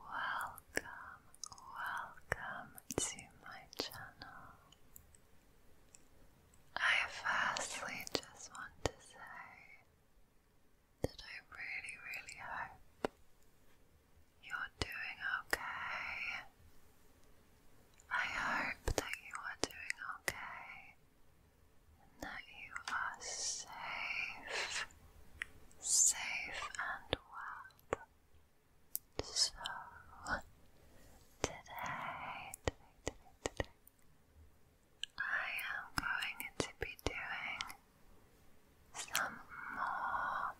Welcome, welcome to my channel. I firstly just want to say that I really, really hope you're doing okay. I hope that you are doing okay and that you are safe safe and well. So today I am going to be doing some more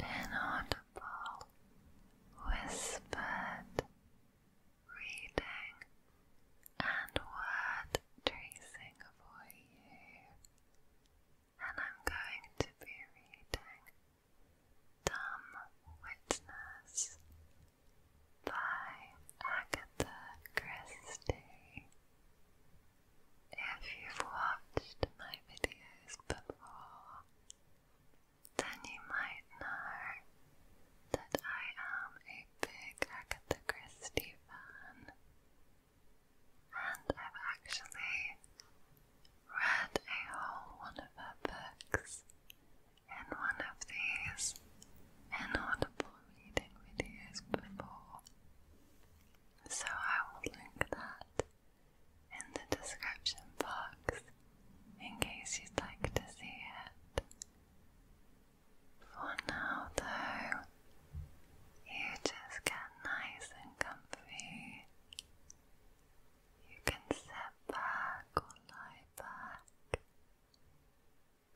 inaudible whispered reading and word tracing for you and I'm going to be reading Dumb Witness by Agatha Christie. If you've watched my videos before, then you might know that I am a big Agatha Christie fan and I've actually read a whole one of her books in one of these inaudible reading videos before, so I will link that in the description box in case you'd like to see it. For now, though, you just get nice and comfy. You can sit back or lie back.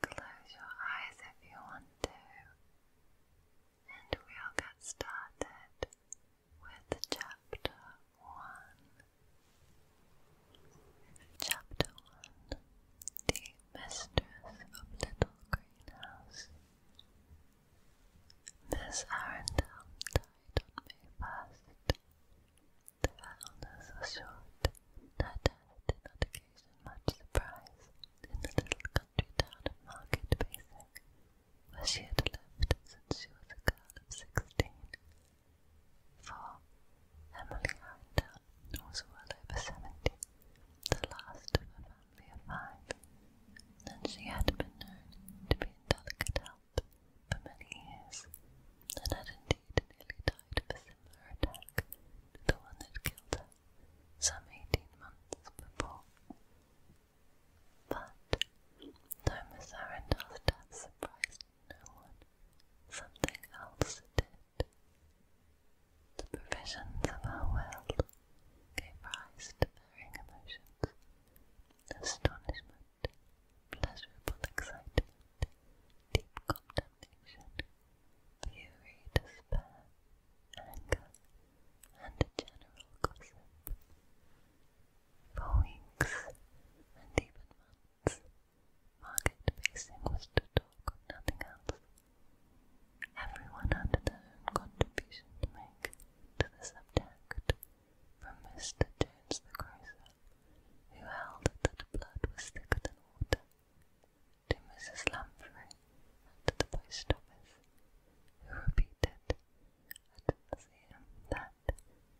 Close your eyes if you want to, and we'll get started with chapter one. Chapter one The Mistress of Little Grey this Miss Arendelle May 1st. The illness was short, and did not occasion much surprise in the little country town of Market Basic, where she had lived since she was a girl of sixteen. For Emily Arendelle was well over seventy, the last of her family five, and she had been known to be in delicate health for many years, and had indeed nearly died of a similar attack the one that killed her some eighteen months before. But, though Miss Arendelle's death surprised no one, something else did. The provisions of our world gave rise to varying emotions astonishment, pleasurable excitement, deep contemplation, fury, despair, anger, and general gossip. For weeks and even months, market facing was to talk nothing else Everyone had their own contribution to make to the subject, from Mr. Jones the grocer, who held that blood was thicker than water, to Mrs. Lamprey at the post office, who repeated at the museum that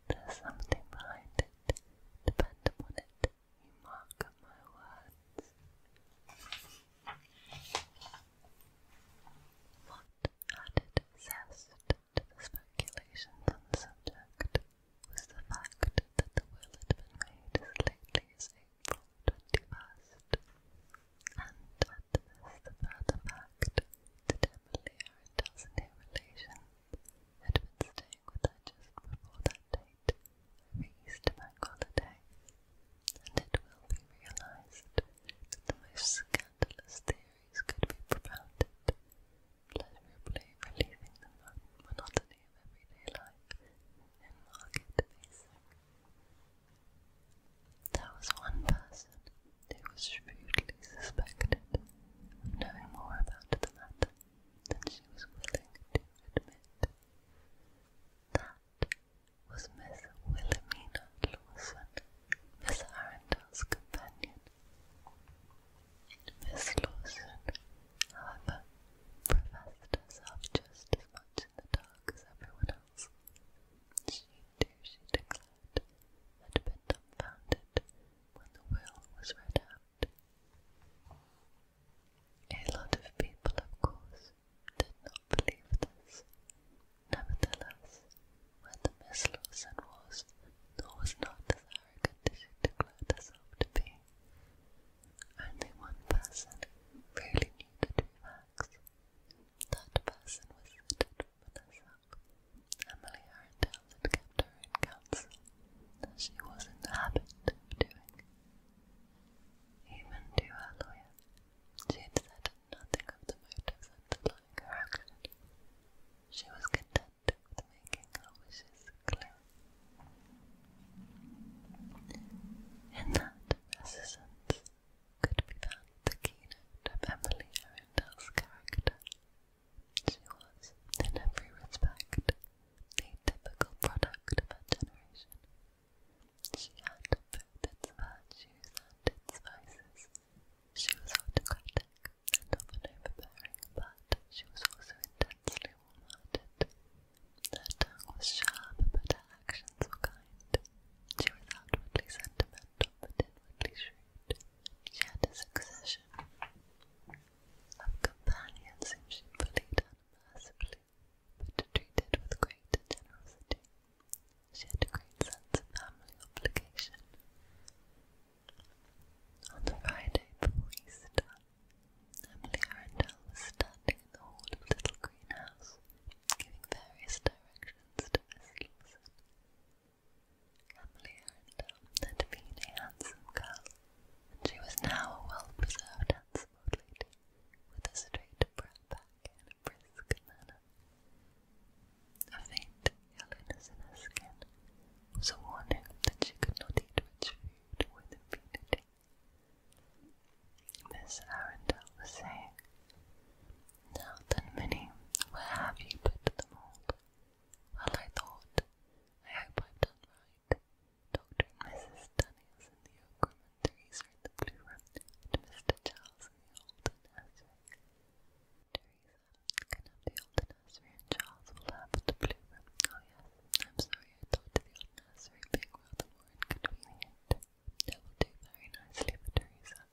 there's something behind it, depend upon it. You mock my words. What added zest to the speculations on the subject was the fact that the will had made as lately as April 21st, and at this the further fact that Emily, her dozen relation, had been staying with her just before that date right for Easter bank holiday, and it will be realized that the most scandalous theories could be propounded, pleasurably relieving the monotony of everyday life in market facing. There was one person who was shrewdly suspected of knowing more about the matter than she was willing to admit. That was Miss Wilhelmina Lawson, Miss Arundel's companion. Miss Lawson, however, professed herself just as much in the dark as everyone else. She too, she declared, had been dumbfounded when the will was read out. A lot of people, of course, did not believe this. Nevertheless, when the Miss was, was not as arrogant as she declared herself to be, only one person really knew the true facts. That person was the dead woman Emily Arundel kept her own counsel, as she was in the habit of doing. Even to her lawyer, she had said nothing of the motives underlying her action. She was content with making her wishes clear. In that reticence could be found the keynote of Emily Arundel's character. She was, in every respect, the typical product of her generation. She had both its virtues and its vices. She was autocratic and often overbearing, but she was also intensely warm-hearted. Her tongue was sharp, but her actions were kind. She was outwardly sentimental, but inwardly shrewd. She had a succession of companions whom she believed in mercifully, but treated with greater generosity. She had a great sense of family obligation. On the Friday before Easter, Emily Arundel was standing in the hall of Little Green House, giving various directions to Miss Lawson. Emily Arundel had been a handsome girl and she was now a well-preserved, handsome old lady, with a straight brown back and a brisk manner. A faint yellowness skin was a that she could not eat rich food with impunity. Miss Arundel was saying, Now then, Minnie, where have you put the mould? Well, I thought, I hope I've done right. White, Dr. Mrs. Daniels in the oak room, Teresa in and Mr. Charles in the old nursery. Teresa can the old nursery, and Charles will have the blue Oh yes, I'm sorry, I the old nursery being rather more inconvenient. That will do very nicely Teresa.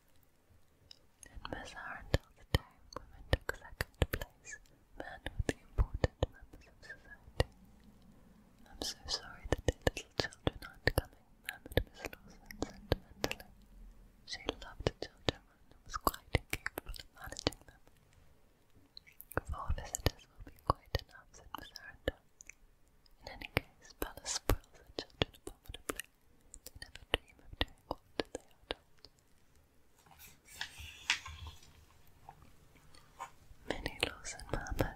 And Miss Arundel, the dame woman, took second place man with the important members of society. I'm so sorry that the little children aren't coming, murmured Miss Lawson sentimentally. She loved children and was quite incapable of managing them. Four visitors will be quite enough, said Miss Arundel. In any case, Bella spoils her children abominably. They never dream of doing what they are told. Minnie Lawson Marmot.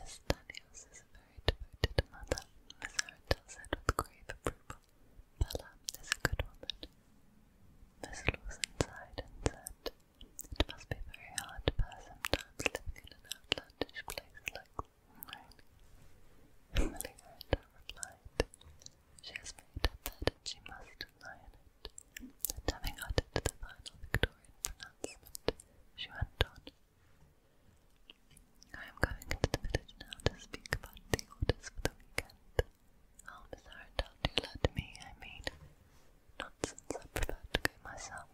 Miss Daniels is a very devoted mother, Miss Arundel said with grave approval. Bella is a good woman. Miss Lawson sighed and said, It must be very hard to sometimes living in an outlandish place like mine. Emily Arundel replied, She has made up that she must lie it and having added the final Victorian pronouncement, she went on. I am going into the village now to speak about the orders for the weekend. How Miss Arundel do you let me, I mean. Not since I prefer to go myself.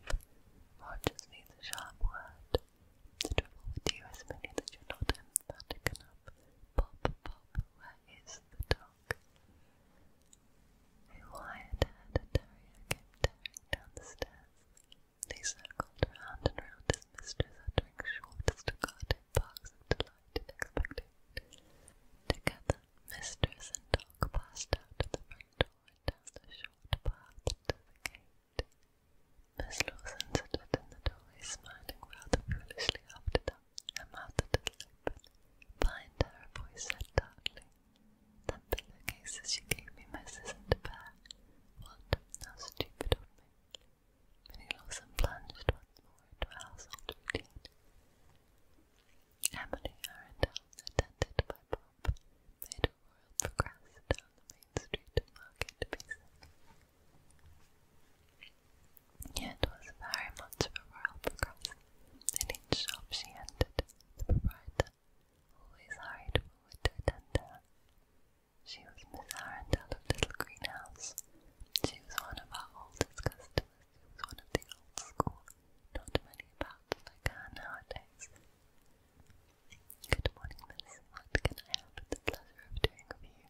Rogers needs a sharp word. to trouble with you is merely that you're not emphatic enough. Pop, pop, where is the dog? milk. They wired her to Dario came tearing down the stairs. They circled round and round his mistress, uttering short, staccato barks of delight and expectation. Together, mistress and dog passed out of the front door and down the short path to the gate. Miss Lawson stood in the doorway, smiling rather foolishly after them. Her mouth a little open. Behind her, her voice said darkly, That pillowcases you gave me, Miss, isn't a pair. What? How stupid of me. Minnie Lawson plunged once more into her household routine. Emily Arundel, attended by Bob, made a royal progress down the main street of Market Yet was very much of a royal In each shop she entered, the proprietor always hurried forward to attend her. She was Miss Arundel of Little Greenhouse. She was one of our oldest customers, who was one of the old school, not many about like her nowadays. Good morning, miss. What can I have the pleasure of doing for you?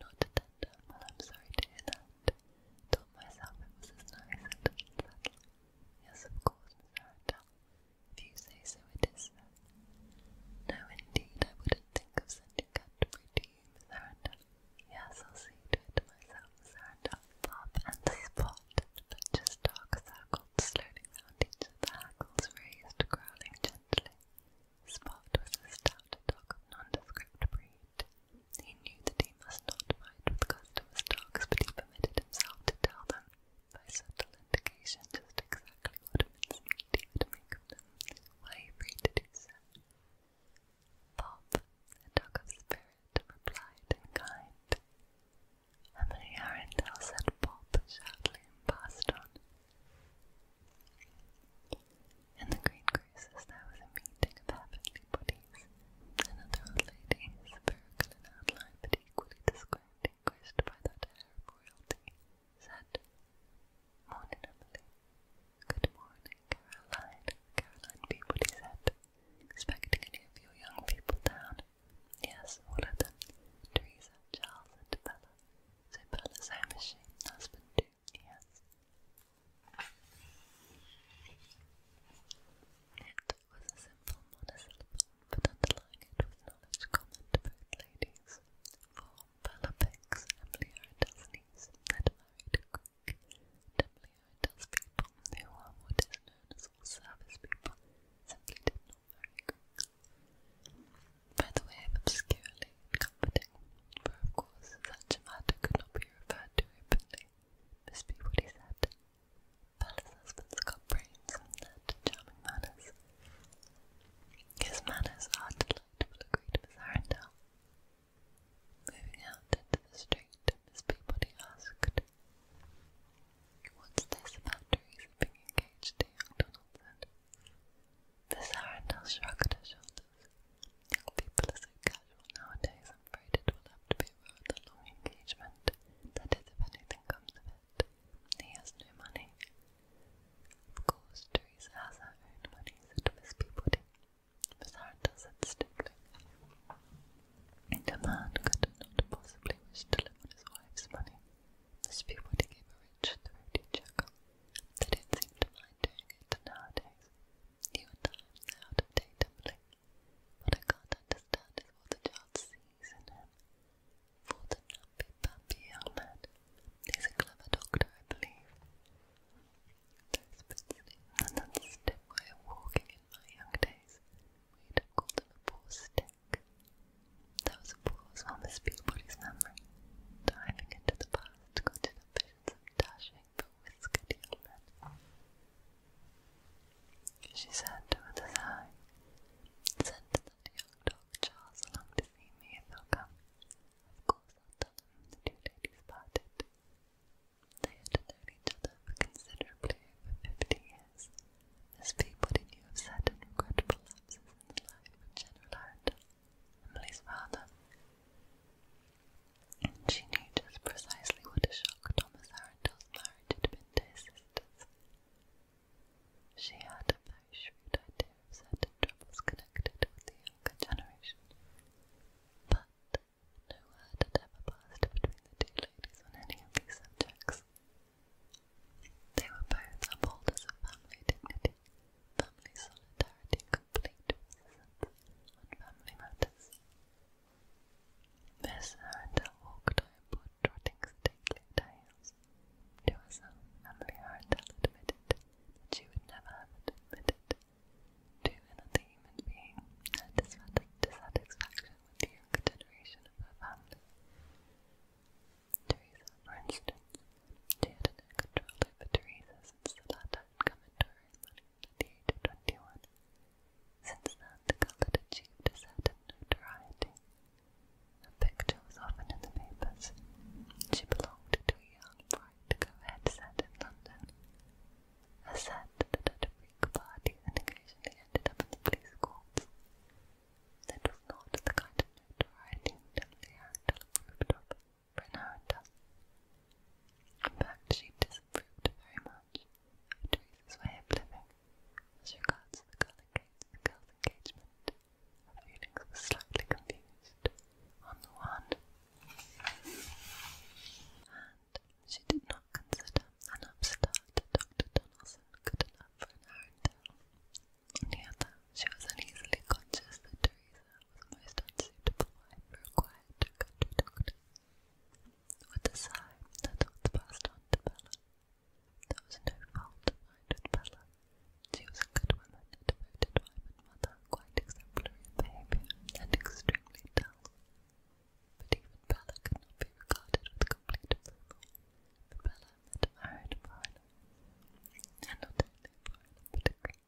Not tender. I'm sorry to hear that. Told myself it was as nice Yes, of course, Miss If you say so, it is No, indeed, I wouldn't think of sending Canterbury to you, Miss Yes, I'll see to myself, Miss Arundel. and the but just dark circled slowly round each of the hackles raised, growling gently. Spot was a stout dog nondescript breed, he knew that he must not fight with customers' dogs, but he permitted himself to tell them, by subtle indication, just exactly what mincemeat he would make of them, were he so. Bob, a dog of spirit, replied in kind. Emily Arundel said Bob, shortly and passed on. In the green creases there was a meeting of heavenly bodies, another old lady, spherical in outline but equally distinguished by that air of royalty, said, Morning, Emily. Good morning, Caroline. Caroline Peabody said, expecting any of your young people down. Yes, all of them. Teresa, Charles, and Bella. So Bella's home is she, husband Yes. It was a simple monosyllable, but underlying it was knowledge common to ladies. For Pelopex and Leoridesnes had married a Greek, and Leorides people, who are what is known as all people, simply did By the way obscurely and interesting, for of course such a matter could not be referred to openly. Must be what he said. Palace husbands got brains and charming manners. His manners are delightful, agreed Miss Arundel. Moving out into the street, Miss Peabody asked, What's this about Teresa being engaged to young Donaldson? This Arendelle shrugged her shoulders. Young people are so casual nowadays, I'm afraid it will have to be a rather long engagement. That is, if anything comes of it. He has no money. Of course, Teresa has her own money, said Miss Peabody. Miss Arendelle said stiffly. A man could not possibly wish to live on his wife's money. Miss Peabody gave a rich, throaty chuckle. They don't to mind it nowadays. New times out of date tumbling. What I can't understand what the child sees in him. For the numpy pumpy young man. He's a clever doctor, I believe. Those bits and that stiff way of walking in my young days. We'd have called him a stick. There was a pause while Miss Peabody's memory, diving into the past, got to imagines of dashing but whiskered young She said with a sigh, Send that young dog Charles along to see me if he'll come. Of course I'll the two ladies parted. They had known each other for considerably over fifty years. This Peabody knew of certain regrettable lapses in life of General Arundel, Emily's father. She knew just precisely what a shock Thomas Arundel's marriage had been to his sisters. She had a very shrewd idea of certain troubles connected with the younger generation, but no word had ever passed between the two ladies on any of these subjects. They were both upholders of family dignity, family solidarity, complete visits on family matters. Miss Arundel walked home trotting stately tales. To herself, Emily Arundel admitted she would never have admitted to another human being her dissatisfaction with the younger generation of her family. Teresa, for instance, she had an control over since the latter had come the age Since then, the girl had achieved a certain notoriety. Her picture was often in the papers. She belonged to a young, bright, co-head in London. A set that had freak parties and occasionally ended up in the police courts. That was not the kind of notoriety that Leandel approved of. Bernarda. In fact, she disapproved very much of Teresa's way of living as regards the girl's engagement. Her feelings were slightly confused. On the one, and she did not consider an upstart Dr. Donaldson good enough for an on the other, she was uneasily conscious that Teresa was a most unsuitable wife for a quiet country doctor. With a sigh, her the passed on to Bella. There was no fault to Bella. She was a good woman, a devoted wife and mother, quite exemplary in behaviour, and extremely dull. But even Bella could not be regarded with complete approval. Bella had married a foreigner, and not only a a Greek.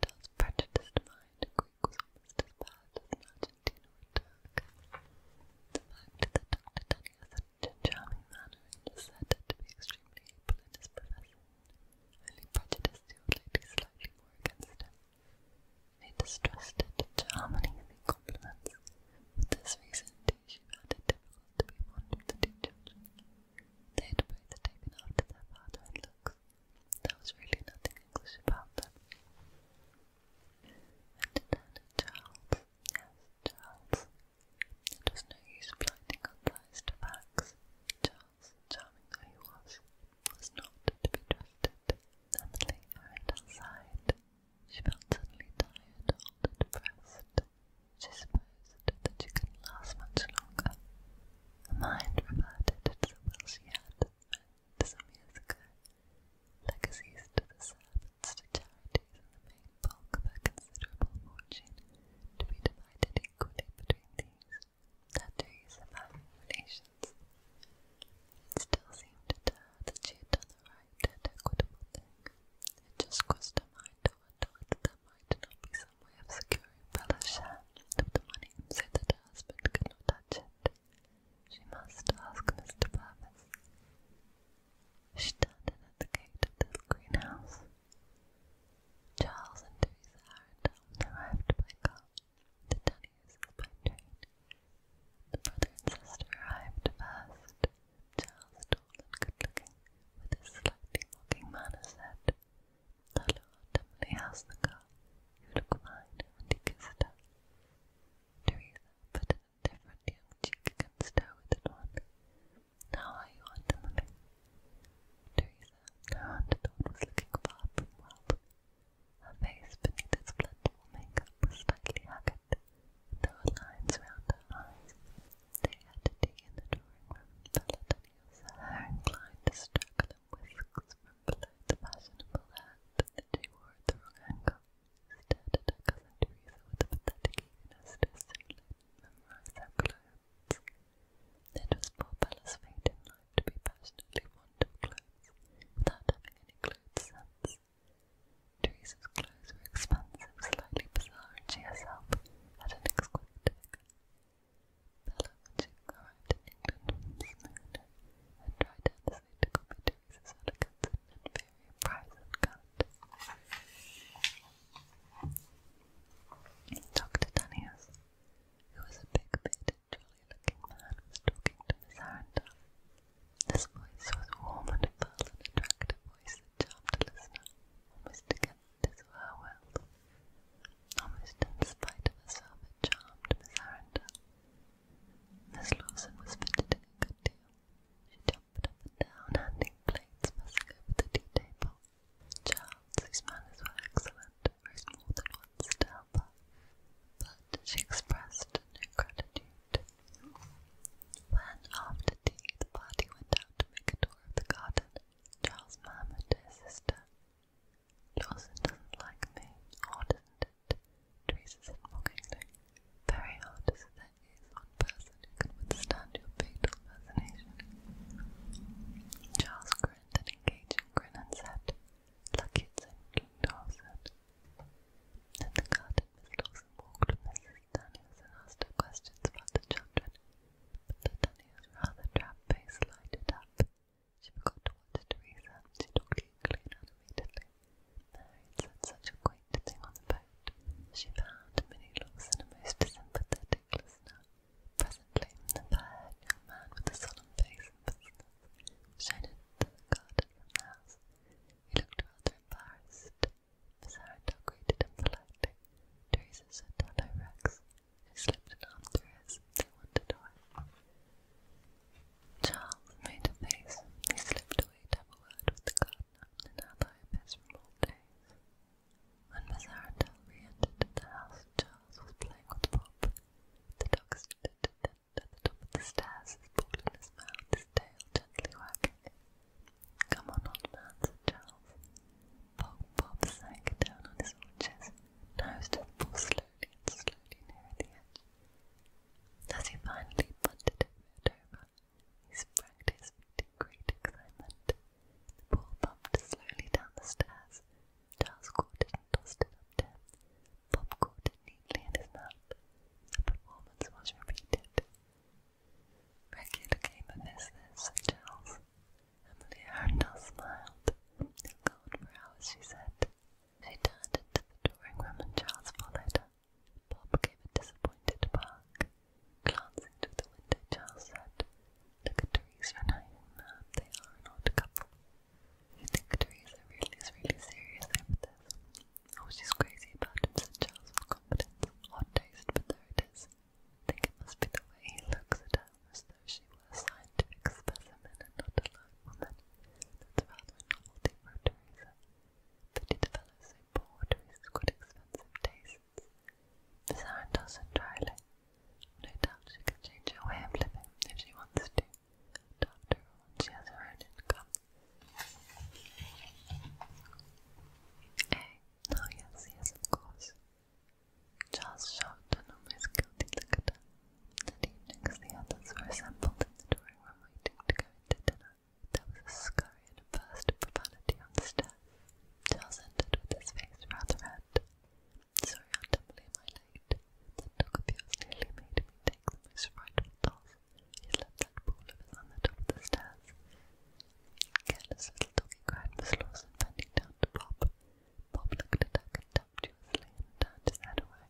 Miseranda's prejudiced mind, Greek was almost as bad as an Argentine or Turk. The fact that Dr. Denny was such a charming manner and was said to be extremely able in his profession only prejudiced the old lady slightly more against him. They distrusted charm and easy compliments. For this reason, too, she found it difficult to be fond of the two children. They had both taken after their father in looks. There was really nothing English about that. And it Charles, yes, Charles. It was no use blinding our eyes to facts. Charles, charming though he was, was not to be trusted. Emily outside. She felt suddenly tired, depressed. She supposed that she could last much longer. Her mind reverted to the will she had meant some years ago, legacies to the servants, charities, and the main bulk of her considerable fortune to be divided equally between these, their dues and relations. still seemed to her that she had done the right equitable thing. It just crossed her mind wonder whether there might not be some way of securing Bella's share the money so that husband could not touch it. She must ask Mr. Purvis. She turned in at the gate of the greenhouse. Charles and Teresa Harrington arrived by car. The Dunnys by train. The brother and sister arrived first. Charles, tall and good-looking, with his slightly mocking manner, said, "Hello, Emily, how's the girl? You look fine," and he kissed her. Teresa put an indifferent young cheek against her withered one. "How are you, Aunt Emily?" Teresa, her underthought was looking far from well. Her face, beneath its plentiful makeup, was slightly haggard, and lines round her eyes. They had tea in the drawing room. Valentinia's hair inclined to straggle in whisks from below the fashionable hat that she wore the wrong angle. She cousin Teresa with a pathetic to assimilate and memorize her clothes. It was poor Bella's in life to be passionately fond of clothes without having any clothes sense. Teresa's clothes were expensive slightly bizarre, herself had an exquisite figure. Bella, when she arrived in England from Smyrna, had tried earnestly to copy Teresa's elegance and inferior price and cut. Dr. Daniels, who was a big, bearded, jolly-looking man, was talking to Miss Arundel. This voice was warm and full and attractive, voice that charmed listener almost against his her Almost in spite of herself, charmed Miss Arundel. Miss Lawson was fitted fidgeting a good deal. She jumped up and down, handing plates, passing over the tea table. Charles, whose manners were excellent, rose more than once to help but she expressed no gratitude. When, after tea, the party went out out to make a tour of the garden, Charles murmured to his sister. Lawson doesn't like me, or doesn't it? Teresa said mockingly. Very hard to say there is one person who can withstand your fatal fascination. Charles grinned an engaging grin and said, Lucky it's in King Dawson. In the garden, Miss Lawson walked with Mrs. Danny was then asked her questions about the children, but though Danny rather drab-faced, lighted up, she forgot to watch Teresa, and she talked eagerly and animatedly. Mary had such a quaint thing on the boat. She found Minnie Lawson a most sympathetic listener. Presently, the fair young man with a solemn face and business was shown the garden of the house. He looked rather embarrassed, Bizarro greeted him politely. Teresa said hello, Rex, and slipped an arm through his. They wandered away. Charles made a face. He slipped away to with the gardener, an ally of his from days. When Mazaratel re-entered the house, Charles was playing with Bob. The dog stood at the top of the stairs, his ball his mouth, his tail gently wagging. Come on, old man, said Charles. Bob Bob sank down on his haunches, nose to the ball slowly and slowly nearer the edge. As he finally bunted it over, he sprang to his feet in great excitement. The ball bumped slowly down the stairs. Charles caught it and tossed it up to him. Bob caught it neatly in his mouth. The performance was repeated. Regular capervisors such as Emily Arundel smiled. You'll go on for hours, she said. She turned into the drawing room and Charles followed her. Bob gave a disappointed bark. Glancing to the window, Charles said, Look at Teresa and Irene, um, they are an odd couple. You think Teresa really really serious over this? I was just crazy about him, Charles confidence. Odd taste, but there it is. I think it must be the way he looks at her, as though she were a scientific specimen and not a lone woman. That's rather a novelty for Teresa. Pity the fellow so poor to expensive tastes. Miss Arundel said dryly. No doubt she can change her way of living if she wants to. After she has her own income Hey, yes, yes, of course. Charles shot an almost guilty look at her. That evening, as the others were assembled in the drawing room waiting to go into dinner, there was a scurry and a burst of profanity on the stairs. Charles entered with his face rather red. Sorry, Aunt am I late? That dog nearly made me take the most frightful He's left that pool of his on the top of the stairs. Careless little doggy cried Miss Lawson, bending down to Bob. Bob looked at her contemptuously and turned away.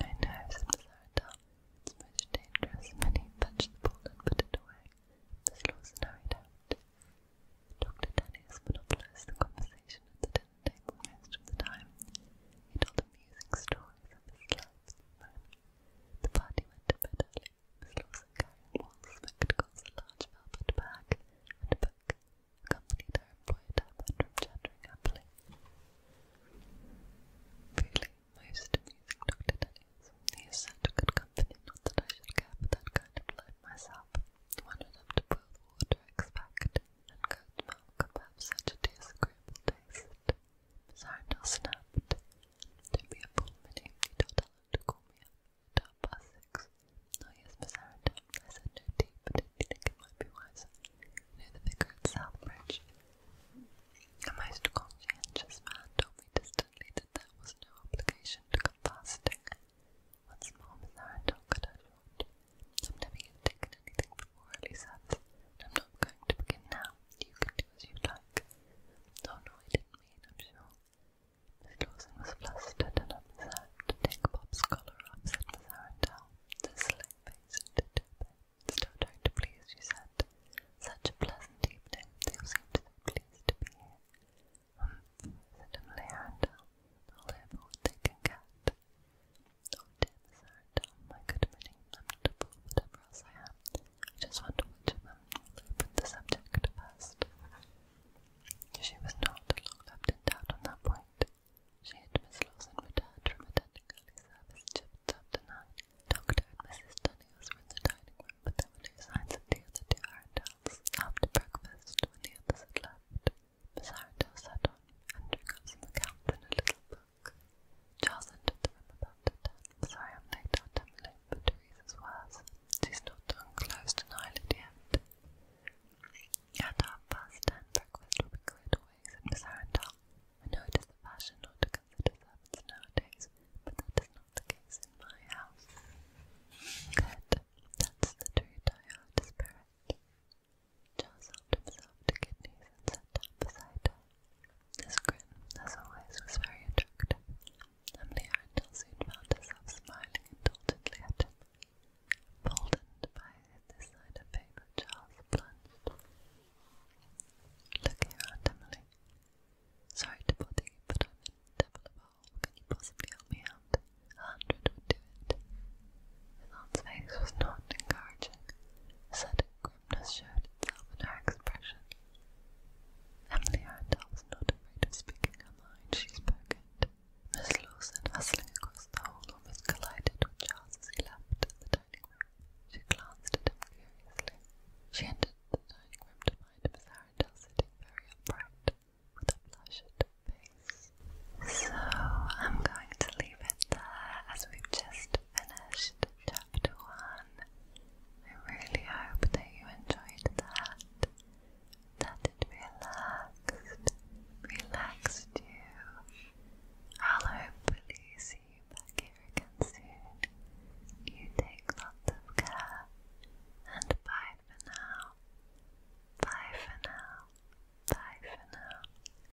I know, said Miss Arendelle. It's most dangerous. Minnie fetched the ball and put it away. Miss Lawson hurried out. Dr. Dennis monopolized the conversation at the dinner table most of the time. He told amusing stories of his life at the party went to bed early, Miss Lawson carrying wool, spectacles, a large velvet bag, and book, accompanied her employer to her bedroom chattering happily. Really, most amusing Dr. Dennis. He is such good company, not that I should care for that kind of life myself. One would have to boil the water, expect, and go to milk such disagreeable taste. Sandal snapped. do be a fool, my name. You told to call me up at past six. Oh yes, Miss I said no tea, but didn't you think it might the vicar Southbridge. A most conscientious man told me distantly that there was no obligation to come fasting. Once more, Miss Arendelle cut I've never yet taken anything before, at least I'm not going to begin now. You can do as you like. Oh no, I didn't mean, I'm sure. Miss Dawson was flustered and undeserved to take Bob's collar off, said Miss Arundel. The slick face and did Still trying to please, she said. Such a pleasant evening. They seem to be pleased to be here. Um, said Emily Arundel. They'll live what Oh dear, this my good morning, lamentable, whatever I am. I just wonder which of them will the subject first. She was not long left in doubt on that point. She and Miss Lawson returned from attending early service just after nine. Doctor and Mrs. Daniels in the dining room, but there were no signs of the other two Arundels. After breakfast, when the others had left, Miss Arundel sat on, and took up some accounts in a little book. Charles entered the room about ten. Sorry I'm late, Aunt Emily, but Teresa's worse. She's not unclosed an eyelid yet. At half past ten, breakfast will be cleared away, said Miss Arundel. I know the fashion not to consider servants nowadays, but that is not the case in my house. Good. That's the truth I spirit. Joe helped himself to kidneys and sat down beside her. His grin, as always, was very attractive, and Leontine soon found herself smiling indulgently at him. Boldened by this sign of favour, Charles plunged. Look here, Emily. Sorry to bother you, but I'm in the devil Can you possibly help me out? A hundred would do it. His face was not encouraging. A grimness showed itself in her expression. Emily Randall was not afraid of speaking her she spoke it. Miss Lawson, hustling across the hall, almost collided with Charles as he left the dining room. She glanced at him curiously. She entered the dining room to find Miss Arundel sitting very upright, with a flushed face. So, I'm going to leave it there, as we've just finished chapter one. I really hope that you enjoyed that, that it relaxed, relaxed you. I'll hopefully see you back here again soon. You take lots of care, and bye for now. Bye for now. Bye for now.